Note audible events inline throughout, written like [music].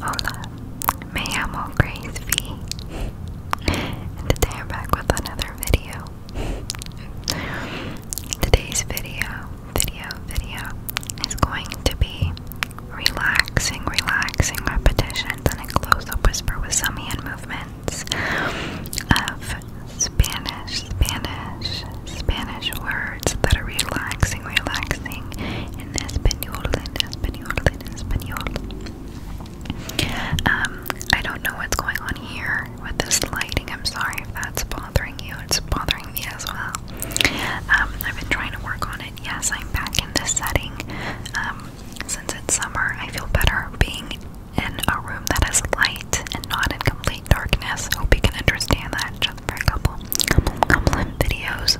Hola, me llamo Grace V, and today I'm back with another video. Today's video, video, video is going to be relaxing, relaxing repetitions and a close-up whisper with some hand movements of Spanish, Spanish, Spanish words that are relaxing, relaxing en español, en español, en español. Um, I don't know what's going on here with this lighting. I'm sorry if that's bothering you. It's bothering me as well. Um, I've been trying to work on it. Yes, I'm back in this setting. Um, since it's summer, I feel better being in a room that is light and not in complete darkness. Hope you can understand that just for a couple, couple, couple videos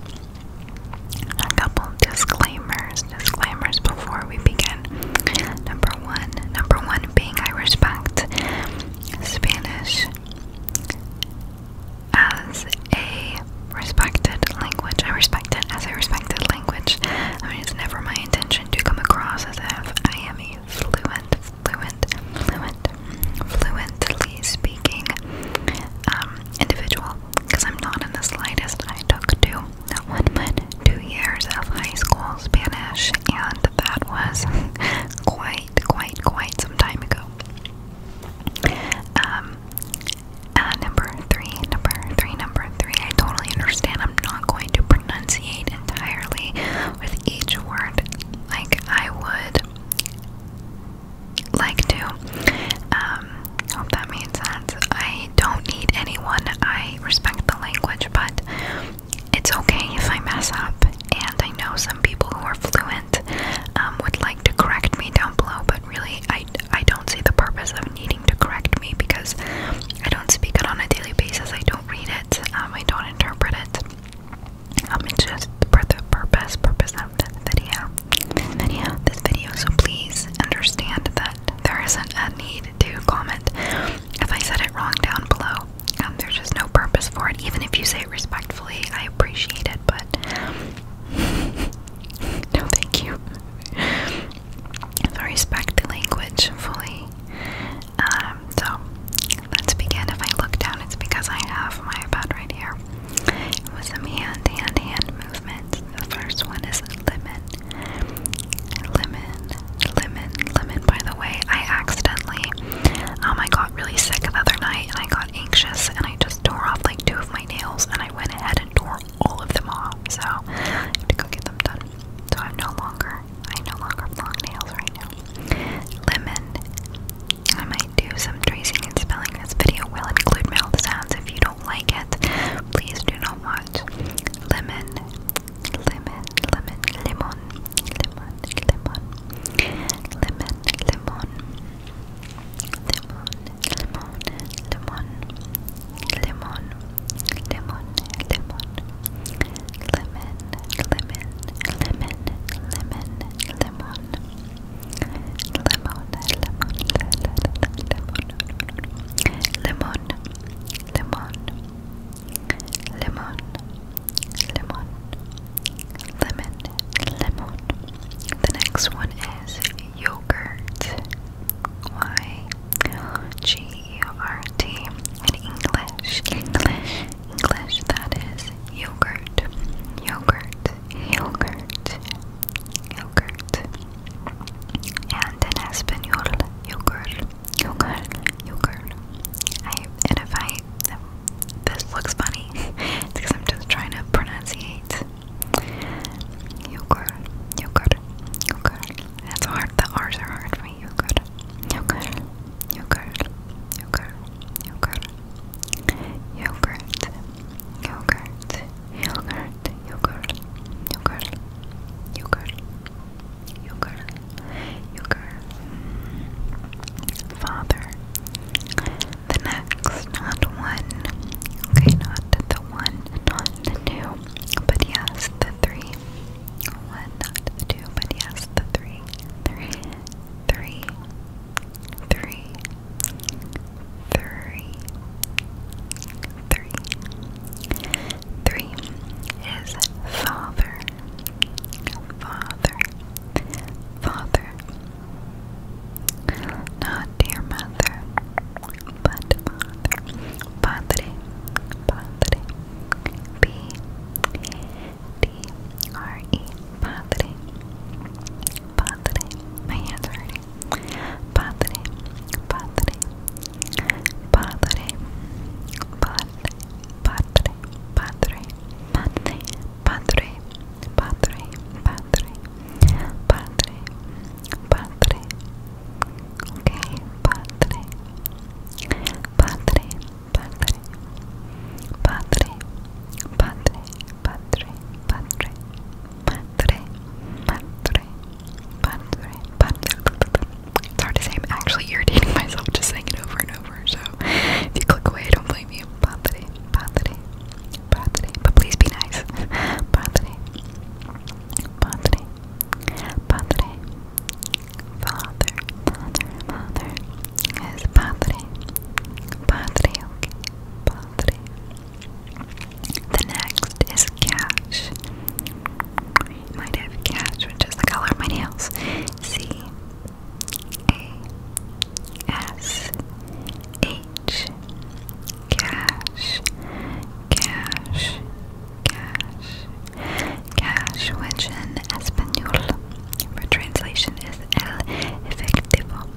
a couple disclaimers. Disclaimers before we begin. Number one, number one being I respect Spanish as a respected language. I respect it as a respected language. I mean, it's never my intention to come across as if I am a fluent, fluent, fluent, fluently speaking um, individual because I'm not in the slightest. I took two, not one but two years of high school Spanish, and that was [laughs] quite, quite, quite some time ago. Um, uh, number three, number three, number three. I totally understand. I'm not going to pronunciate entirely with each word like I would like to. Um, hope that made sense. I don't need anyone. I respect the language, but it's okay if I mess up. And I know some people who are fluent um, would like to correct me down below, but really, I, I don't see the purpose of needing to correct me because I don't speak it on a daily basis. I don't read it. Um, I don't interpret it. I'm um, just for the purpose, purpose of the video this video, so please understand that there isn't a need to comment if I said it wrong down below. Um, there's just no purpose for it. Even if you say it respectfully, I appreciate it, but [laughs] no, thank you. So respect the language fully. Um, so let's begin. If I look down, it's because I have my iPad right here with a hand, hand, hand movements. The first one is lemon. Lemon, lemon, lemon. By the way, I accidentally, um, I got really sick the other night and I got anxious and I just tore off like two of my nails and I went ahead and tore all of them off. So I have to go get them done. So I'm no longer, I no longer have long nails right now. Lemon. I do some tracing and spelling. This video will include mouth sounds. If you don't like it, please do not watch. Lemon, lemon, lemon, lemon, lemon, lemon, lemon, lemon, lemon, lemon, lemon, lemon, lemon. Lemon, lemon, lemon, lemon, lemon, lemon, lemon, lemon, lemon, lemon, lemon, lemon. The next one is yogurt. Y G U R T in English, English, English. That is yogurt, yogurt, yogurt, yogurt, and in Espanol, yogurt, yogurt, yogurt. I and if I um, this looks funny it's [laughs] because I'm just trying to pronunciate yogurt, yogurt, yogurt. That's hard. The R's are hard for me. Yogurt, yogurt, yogurt, yogurt, yogurt yogurt, yogurt, yogurt, yogurt, yogurt, yogurt, yogurt, yogurt, father. The next, not one, okay, not the one, not the two, but yes, the three. One, not the two, but yes, the three. Three, three, three, three. Three. is father. Father. Father. Not dear mother, but father. Padre. Padre. P. D. R. E. Padre. Padre, my hands are hurting. Padre, padre, padre, padre, padre, padre, padre, padre, padre, padre, padre, padre, okay, padre, padre, padre, padre, padre, padre, padre. Padre, Patre, patre, patre, patre. It's hard to say. actually irritating [laughs] myself just saying it over and over. So if you click away, don't blame me. Patre, patre, patre. But please be nice. Patre, patre, patre. Father, father, father. Is patre, patre, okay. Patre. The next is cash. might have cash, which is the color of my nails. C A S H. Cash. Cash. Cash. Cash, which in Spanish for translation is El Efectivo.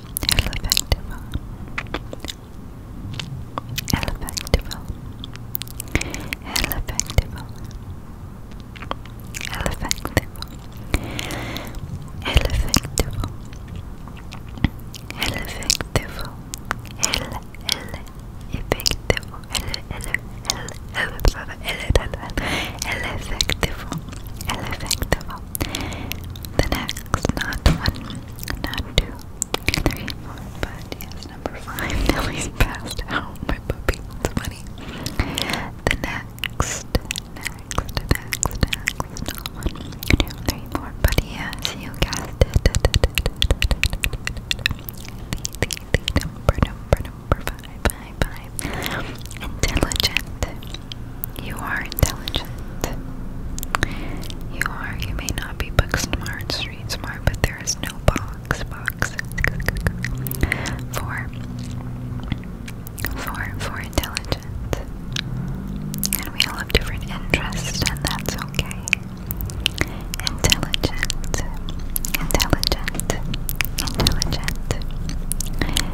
Elefactiva. Elefactiva. Elefactiva. Elefactiva. Elefactiva. Elefactiva. El, el, efectivo, el, el, el, el, el, el, el, el, el, el, el, el, el, el, el, the next, not one, not two, three, four, but yes, number five. Nelly's [laughs] passed out. My puppy. funny. The next, next, next, next, not one, two, three, four, but yes, you guessed it. [laughs] The, the, the number, number, number five time. Intelligent. You are intelligent. You are. You may not be book smart, street smart, but there is no box. Box. For. For. For intelligent. And we all have different interests, and that's okay. Intelligent. Intelligent. Intelligent.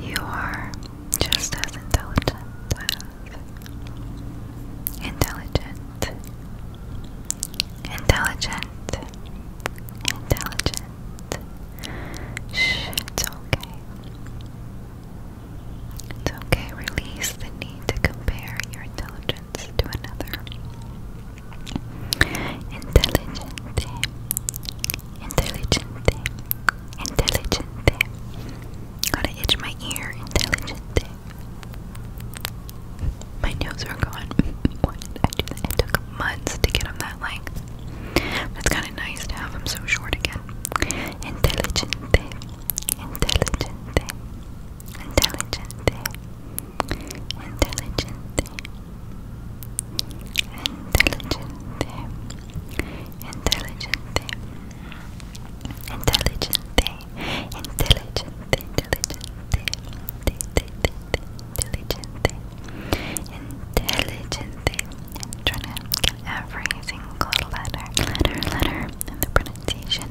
You are just as intelligent as intelligent, intelligent, intelligent. Shh, it's okay. It's okay, release the need to compare your intelligence to another. Intelligent, intelligente, intelligente. Gotta my ear, intelligente. My nails are gone. [laughs] Why did I do that? took months to get them that length. It's kind of nice to have them so short again. Intelligente, intelligente, intelligente, intelligente intelligent, Intelligente. Intelligente. Intelligente. Intelligente. Intelligente. Intelligente. I'm trying to get every single letter, letter, letter in the pronunciation.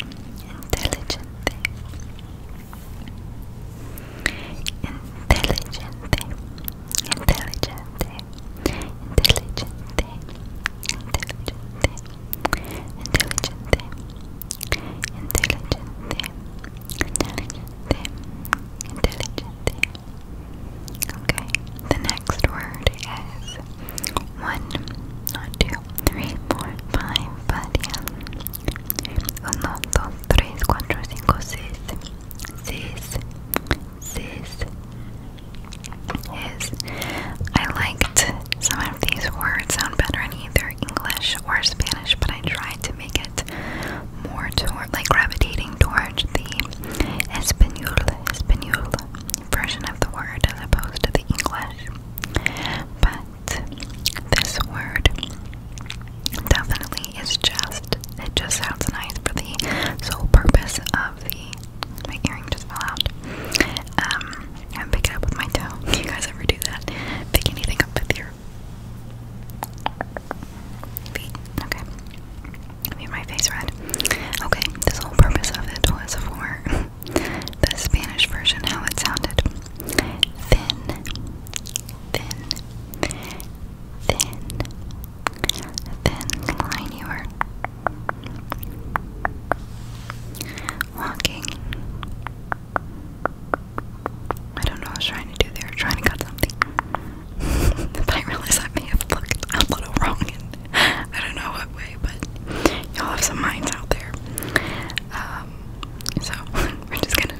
Intelligente. Intelligent, intelligente, intelligente, intelligente, intelligente, intelligente, intelligente, intelligente. Okay, the next word is one, not two, three, four, five, 1, I liked some of these words sound better in either English or Spanish, but I tried to make it more toward, like gravitating towards the Espanol, Espanol version of the word as opposed to the English. But this word definitely it's just it just sounds nice for the sole purpose of the my earring just fell out. Um I'm picking up with my toe. [laughs] you guys ever do that? Pick anything up with your feet. Okay. Made my face red. Okay, this whole purpose of it was for [laughs] the Spanish version, how it sounded. Thin, thin, thin, thin line you are walking. I don't know what I was trying to do there, trying to cut something. but [laughs] I realize I may have looked a little wrong I don't know what way, but y'all have some minds out there. Um, so [laughs] we're just gonna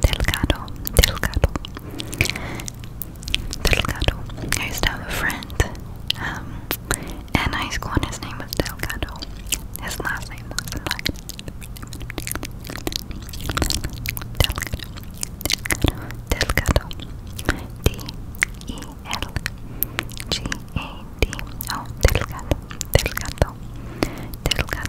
Delgado, Delgado, Delgado. I used to have a friend um, in high his name was Delgado. His last name was Delgado. Delgado, Delgado, D E L G A D O, Delgado, Delgado, Delgado.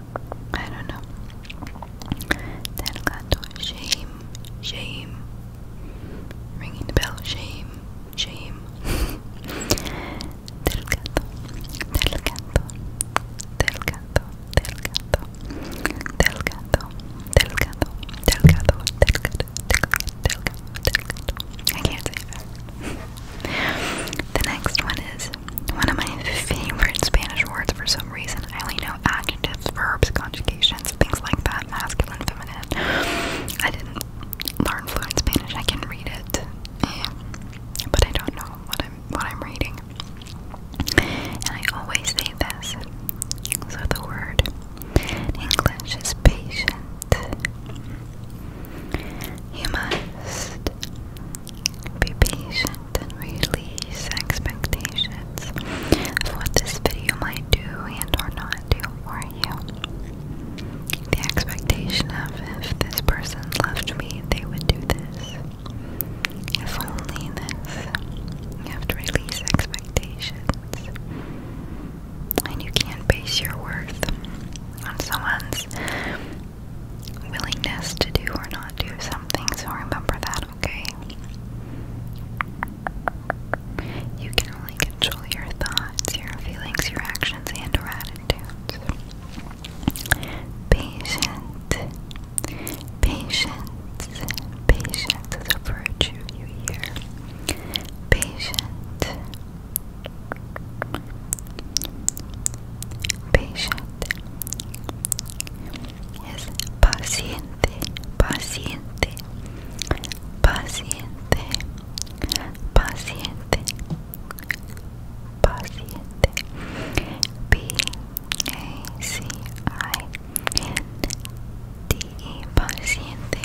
I don't know. Delgado, shame, shame. Ringing the bell, shame, shame. Delgado, delgado, delgado, delgado, delgado, delgado, delgado, delgado, delgado, delgado. I can't say that. the next one is one of my favorite Spanish words for some reason. I only know adjectives, verbs, conjugations, things like that, masculine, feminine. I didn't learn fluent Spanish. I can read it, eh, but I don't know what I'm what I'm reading. And I always say this. So the word English is patient. You must be patient and release expectations of what this video might do and or not do for you. The expectation of if this person loved me, they would do this. If only this. You have to release expectations. And you can't base your worth on someone's willingness to do or not do something, so remember that, okay? You can only control your thoughts, your feelings, your actions, and attitudes. Patient, patience, patience is a virtue you hear. Patient, patient, es paciente, paciente, paciente, paciente, paciente. p A C I N T E paciente,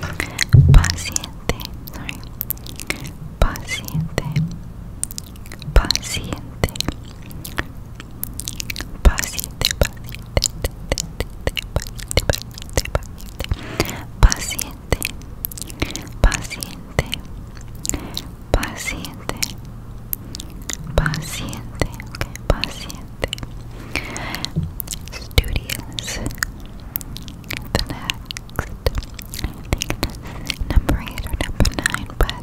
paciente, paciente. paciente, paciente, paciente, paciente, paciente, paciente, okay, paciente, studious. The next, number eight or number nine, but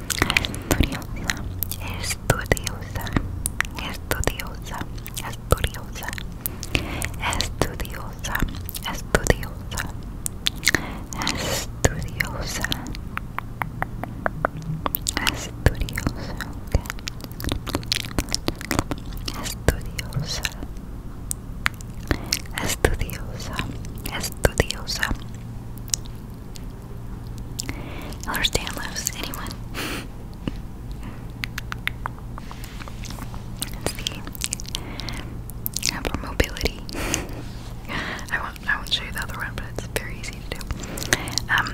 estudiosa, estudiosa, estudiosa, estudiosa, estudiosa, estudiosa, estudiosa, estudiosa, estudiosa, estudiosa, estudiosa. Estudiosa, Understand loves anyone. it's the upper mobility. [laughs] I won't I won't show you the other one, but it's very easy to do. Um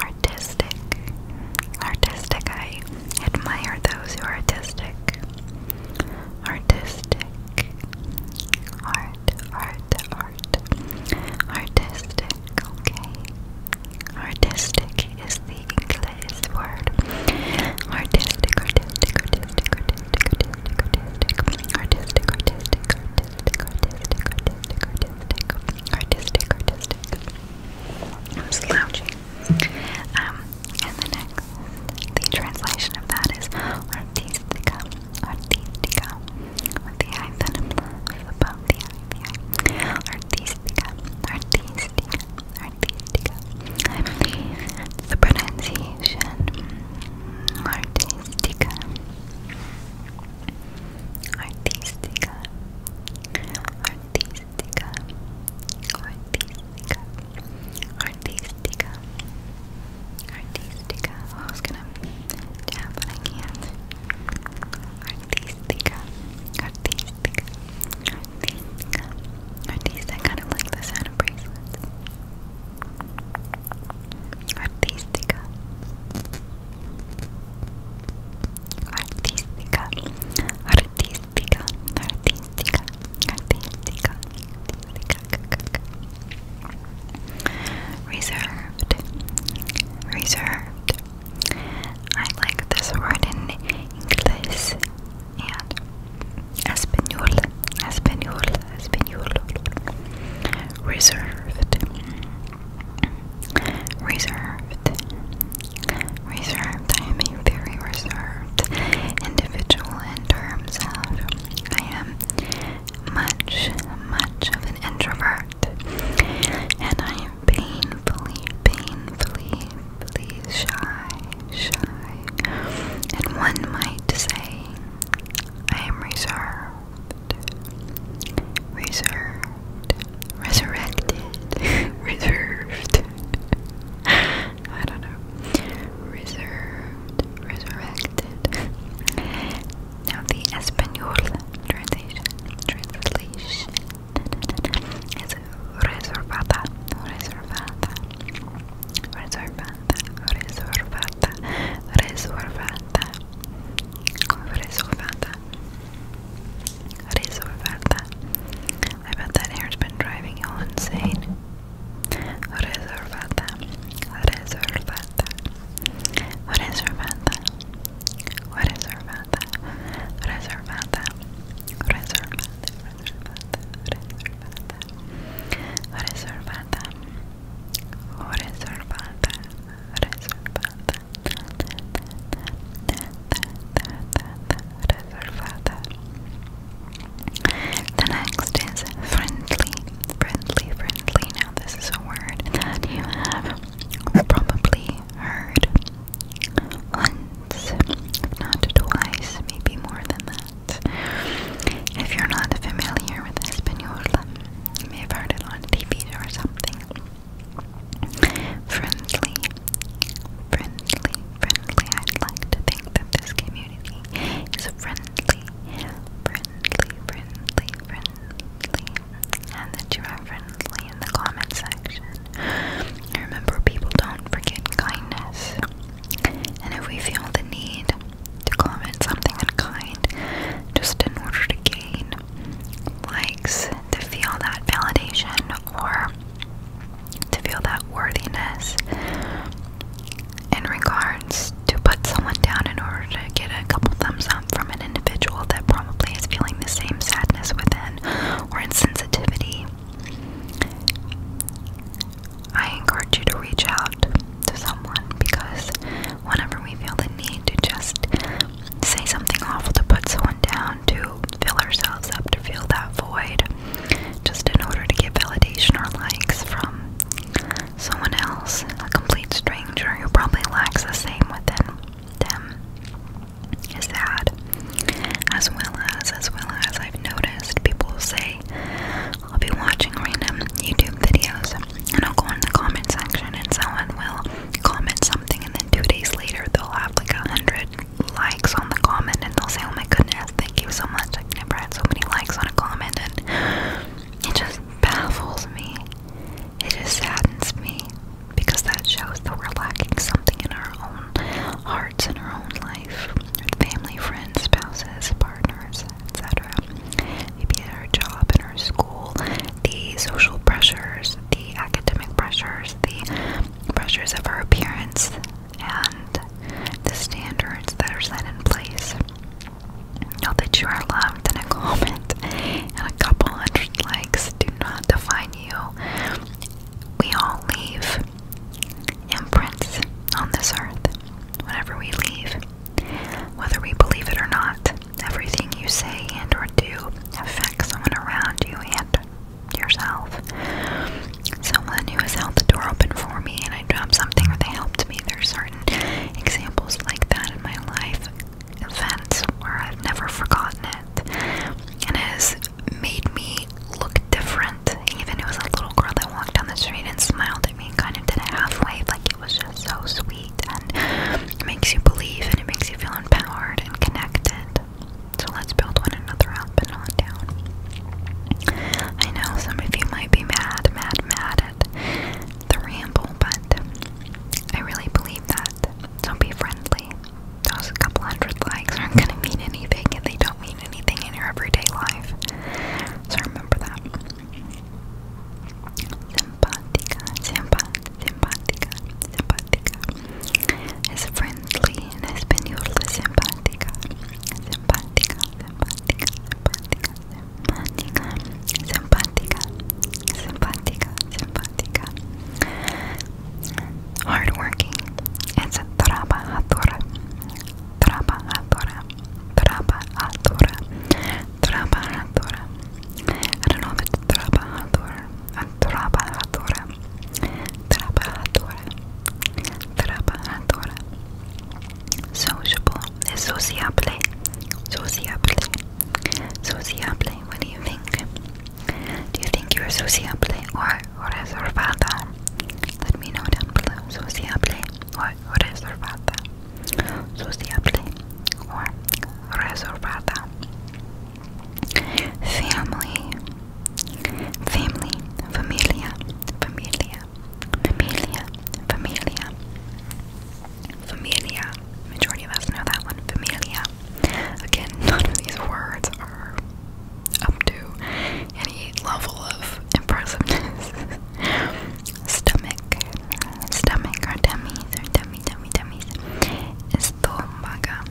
artistic. Artistic, I admire those who are artistic. Artistic. Art, art, art, artistic, okay? Artistic is the English word. Artistic, artistic, artistic, artistic, artistic, artistic, artistic, artistic, artistic, artistic, artistic, artistic, I'm slouching. Um, and the next, the translation of that is artistica, artística with the eyes that above the eye, the artística, artística, artística the pronunciation artística artística artística artística artística Artística. I was gonna tap, but I can't. Artística. Artística. Artística. Artística. I kind of like the sound of bracelets. Artística. Artística. Artística. Artística. Artística. Artística. Reserved. Reserved. I like this word in English and Espanol. Espanol. Espanol. Reserved. Reserved. Reserved. I am very reserved individual in terms of I am much, much of an introvert, and I am painfully, painfully, shy, shy, and one might say I am reserved, reserved, resurrected, reserved. [laughs] I don't know. Reserved, resurrected, now the Espanol translation translation is reservada, reservada, reservada, reservada, reservada, reservada, reservada. I bet that hair's been driving you all insane. Reservada, reservada, Ramada? What is Ramada? What is Ramada? What is Ramada? What is Ramada? What is Ramada? What is Ramada? What is Ramada? The next is friendly, friendly, friendly. Now this is a word that you have probably heard once, not twice, maybe more than that. If you're not familiar with Española, you may have heard it on TV or something. Friendly, friendly, friendly. I'd like to think that this community is friendly friendly, friendly, friendly, and that you are friendly in the comment section. Remember, people don't forget kindness, and if we feel the need to comment something unkind just in order to gain likes, to feel that validation or to feel that worthiness, in regards to put someone down in order to get a couple thumbs up from an individual that probably is feeling the same sadness within or insensitivity. I encourage you to reach out to someone because whenever we feel the need to just say something awful to put someone down, to fill ourselves up, to fill that void, just in order to get validation or likes from someone else, a complete stranger who probably lacks the same within them, is sad. As well as, as well as, I've noticed people say, I'll be watching random YouTube videos and I'll go in the comment section and someone will comment something and then two days later they'll have like a hundred likes on the comment and they'll say, oh my goodness, thank you so much, I've never had so many likes on a comment and it just baffles me. It just saddens me because that shows that we're lacking something in our own hearts and our own life. Family, friends, spouses, partners, etc. Maybe at our job, in our school, the social pressures, the academic pressures, the pressures of our appearance, and the standards that are set in place. Know that you are loved, in a comment and a couple hundred likes do not define you. We all leave imprints on this earth whenever we leave, whether we believe it or not. Everything you say and or do affects someone around you and yourself. Someone who has held the door open for me and I dropped something or they helped me. They're sorry examples like that in my life, events where I've never forgotten it, and has made me look different. Even it was a little girl that walked down the street and smiled at me and kind of did a half wave, like it was just so sweet, and makes you believe and it makes you feel empowered and connected. So let's build one another up and not down. I know some of you might be mad, mad, mad at the ramble, but I really believe that. Don't be friendly. Those couple hundred likes aren't gonna mean anything and they don't mean anything in your everyday life. So remember that. Simpatica, simpat, simpatica, simpatica. Is friendly in Espanol, simpatica. Simpatica, simpatica, simpatica, simpática, simpática, simpática, simpática. Hardworking. It's a trabajadora, trabajadora, trabajadora, trabajadora. I don't know if it's trabajadora, a trabajadora, trabajadora, trabajadora. Sociable sociable. Sociable. Sociable. What do you think? Do you think you're sociable or reservada? Let me know down below. Sociable or reservada. Sociable or reservada. Family. Family. Familia. Familia. Familia, Familia, Familia. Majority of us know that one, Familia. Again, [laughs] none of these words are up to any level of impressiveness. [laughs] stomach, stomach, or tummies, or tummy, tummy, tummies. Estómago,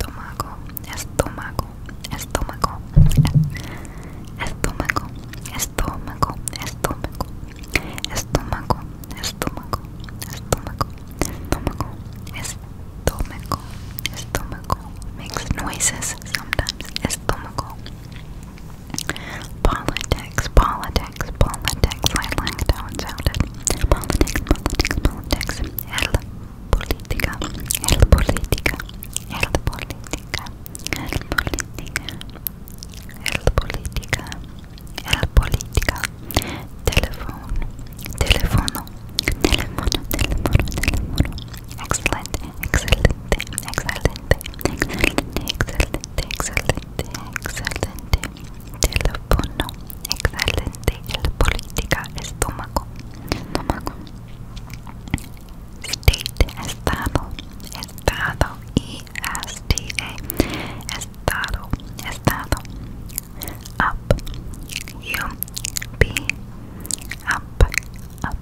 estómago, estómago, estómago, estómago, estómago, estómago, estómago, estómago, estómago makes noises sometimes, estómago. Politics, politics, politics, I like how it sounded. Politics, politics, politics, el política, el política, el política, el política. el política, el política, teléfono, teléfono, teléfono, teléfono, teléfono, excelente, excelente, excelente, excelente, excelente, excelente, excelente, teléfono, excelente, el política, estómago, estómago, state, estado, estado y E-S-T-A. Estado. Estado. Up. U. B. Up. Up.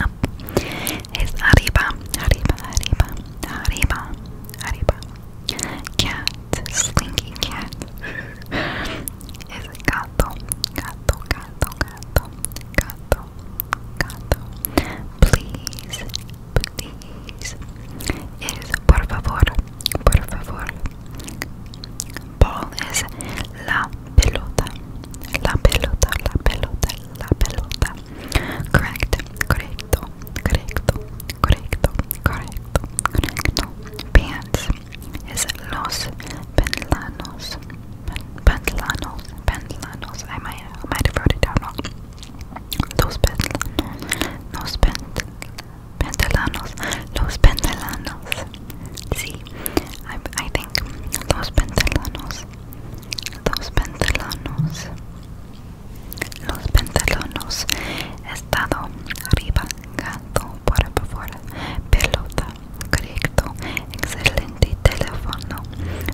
Up. Es arriba. Arriba. Arriba. Arriba. Arriba. Cat. Slinky cat. [laughs] es gato. Gato. Gato. Gato. Gato. Gato, Gato, please, please, it is por favor, por favor. Ball is la pelota, la pelota, la pelota, la pelota. Correct, correcto, correcto, correcto, correcto, correcto. Pants is los pantlanos, pantlanos, pantlanos. I might, I might have wrote it wrong. Los pentelanos, los pentelanos, los pentelanos, Sí, I, I think los pentelanos, los pentelanos, los pentelanos, Estado arriba, gato por favor, pelota, correcto, excelente de teléfono,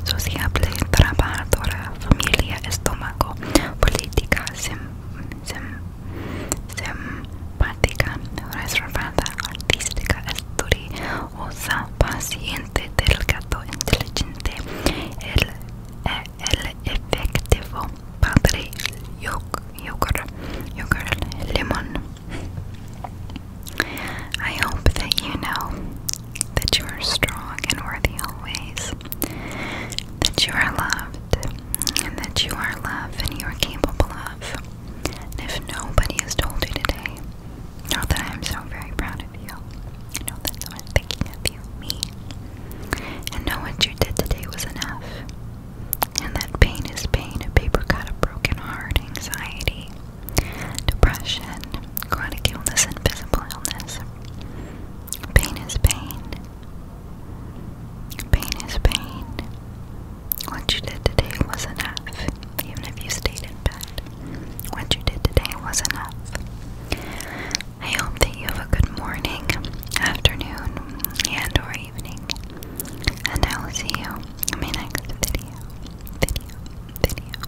sociable, trabajadora, familia, estómago, política, simpática, reservada, artística, estudiosa, paciente, gato inteligente, el, efectivo, padre, yogur, yogur, limón. I hope that you that you are strong and worthy always, that you are loved, and that you are loved, and you are capable of. And if nobody has told you today, know that I am so very proud of you. Know that someone thinking of you, me. And know what you did today was enough. And that pain is pain, a paper cut, a broken heart, anxiety, depression, chronic illness, and visible illness. Pain is pain. Pain is pain. What you did today was enough, even if you stayed in bed. What you did today was enough. I hope that you have a good morning, afternoon, and or evening. And I will see you in my next video. Video. Video.